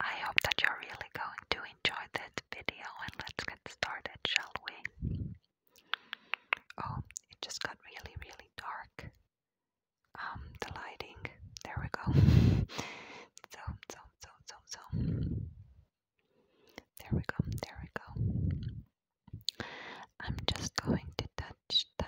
I hope that you're really going to enjoy this video and let's get started, shall we? Oh, it just got really, really dark. Um, the lighting. There we go. so, so, so, so, so. There we go, there we go. I'm just going to touch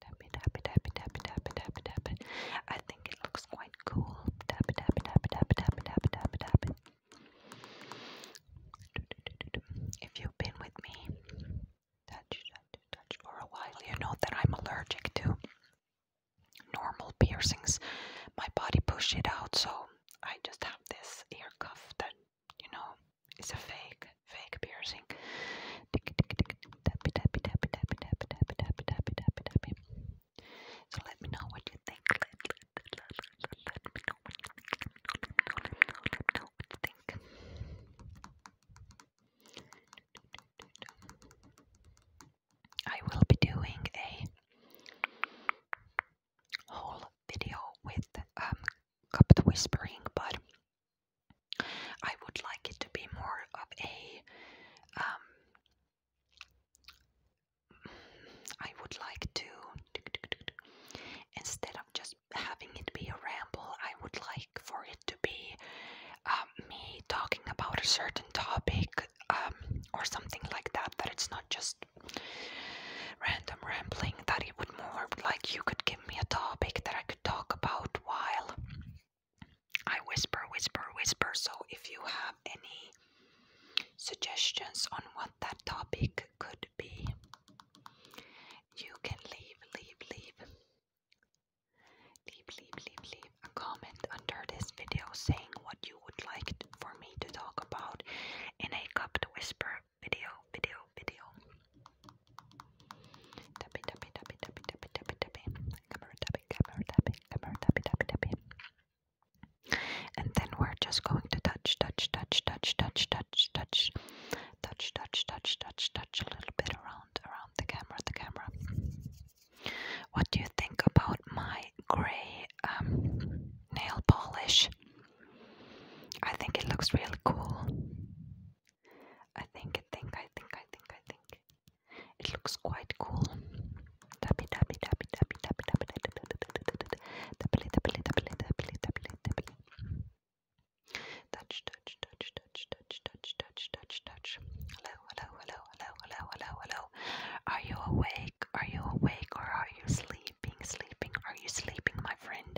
Tap it, tap it, tap it, tap it, tap it, tap it, tap it. I think it looks quite cool. Tap it, tap it, tap it, tap it, tap it, tap it, tap it. If you've been with me, touch, touch, touch for a while, you know that I'm allergic to normal piercings. My body pushed it out, so I just have this ear cuff that, you know, is a fake, fake piercing so let me know what you think I will be doing a whole video with um cupped whispering but I would like it to be more of a. Um, I would like to. Instead of just having it be a ramble, I would like for it to be um, me talking about a certain topic um, or something like that. That it's not just random rambling, that it would more like you could give me a topic that I could talk about while I whisper, whisper, whisper. So if you have any suggestions on what that topic could be, you can leave, leave, leave, leave, leave, leave, leave a comment under this video saying what you would like for me to talk about in a cupped whisper video, video, video. Tapping, tapping, tapping, tapping, tapping, tapping, tapping. Camera tapping, camera tapping, camera tapping, tapping, tapping. And then we're just going to touch, touch, touch, touch, touch, touch, touch, touch, touch, touch, touch, touch a little bit around, around the camera, the camera. What do you think about my gray um, nail polish? I think it looks really cool. I think, I think, I think, I think, I think. It looks quite cool. Touch, touch, touch, touch, touch, touch, touch, touch, touch. Hello, hello, hello, hello, hello, hello, hello. Are you awake? Are you awake or are you sleeping? Sleeping? Are you sleeping, my friend?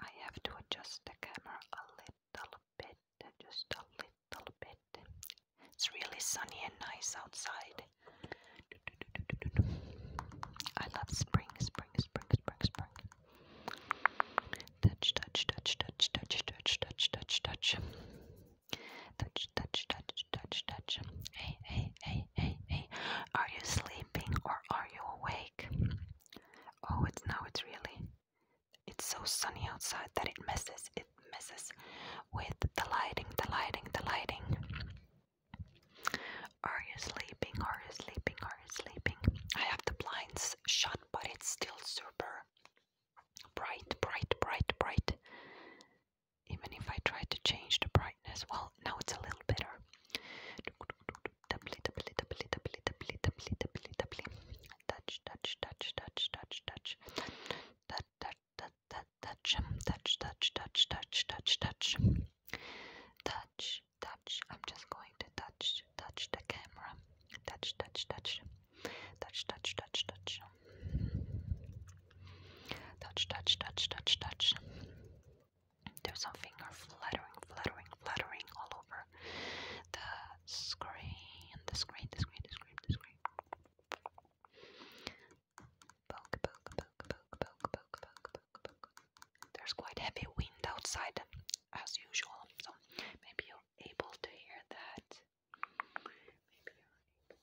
I have to adjust the camera a little bit, just a little bit. It's really sunny and nice outside. I love spring, spring, spring, spring, spring. Touch, touch, touch, touch, touch, touch, touch, touch, touch. Touch, touch, touch, touch, touch. Hey, hey, hey, hey, hey. Are you sleeping? or are you awake? Oh, it's no, it's really. It's so sunny outside that it messes, it messes with the lighting, the lighting, the lighting. Are you sleeping? Are you sleeping? Are you sleeping? I have the blinds shut, but it's still super bright, bright, bright, bright even if I try to change the brightness. Well, now it's a little better. Doubly, doubly, doubly, doubly, doubly, doubly, doubly, doubly. Touch, touch, touch, touch, touch, touch. Touch, touch, touch, touch, touch, touch, touch, touch, touch, touch. Touch, touch. I'm just going to touch, touch the camera. Touch, touch, touch. Touch, touch, touch, touch. Touch, touch, touch, touch, touch. There's a finger fluttering, fluttering, fluttering all over the screen, the screen, the screen, the screen, the screen. Poke, poke, poke, poke, poke, poke, poke, poke, poke. There's quite heavy wind outside, as usual, so maybe you're able to hear that. Maybe you're able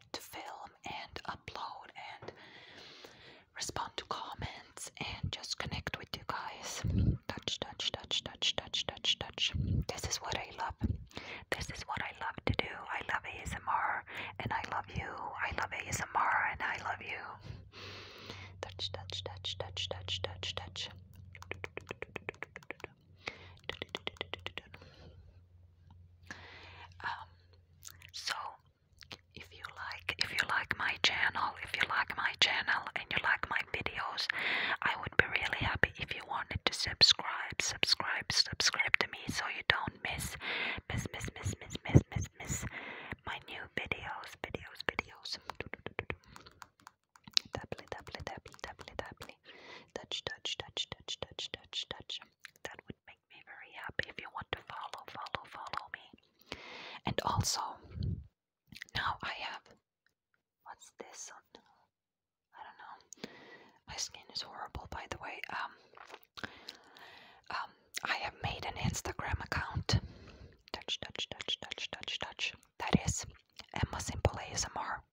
it to film and upload and respond to comments and just connect with you guys. Touch, touch, touch, touch, touch, touch, touch. This is what I love. This is what I love to do. I love ASMR and I love you. I love ASMR and I love you. Touch, touch, touch, touch, touch, touch, touch. Um, so if you like if you like my channel, if you like my channel and you like my videos, I would be really happy if you wanted to subscribe, subscribe, subscribe to me so you don't miss miss miss miss miss miss miss my new videos, videos, videos. Tappily, tappily, tappily, tappily, tappily. Touch, touch, touch, touch, touch, touch, touch. That would make me very happy if you want to follow, follow, follow me. And also, now I have. What's this? On? I don't know. My skin is horrible, by the way. Um, um, I have made an Instagram account. Touch, touch, touch, touch, touch, touch. That is Emma Simple ASMR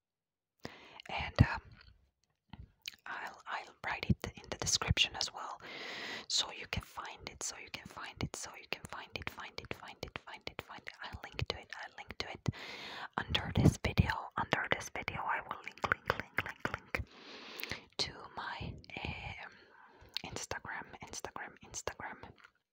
and um, I'll I'll write it in the description as well, so you can find it. So you can find it. So you can find it. Find it. Find it. Find it. Find it. I'll link to it. I'll link to it under this video. Under this video, I will link, link, link, link, link to my um, Instagram. Instagram. Instagram.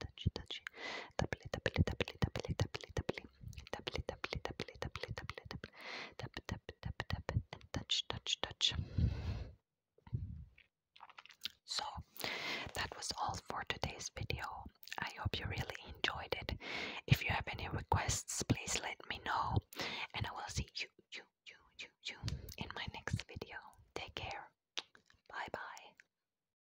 touchy, touchy, touchy. Tapli, tapli, tapli, tapli, tapli, tapli. Tapli, tapli, tapli, tapli, tapli, tapli. Tap, tap, tap, tap, and touch, touch, touch. So, that was all for today's video. I hope you really enjoyed it. If you have any requests, please let me know. And I will see you, you, you, you, you in my next video. Take care. Bye bye.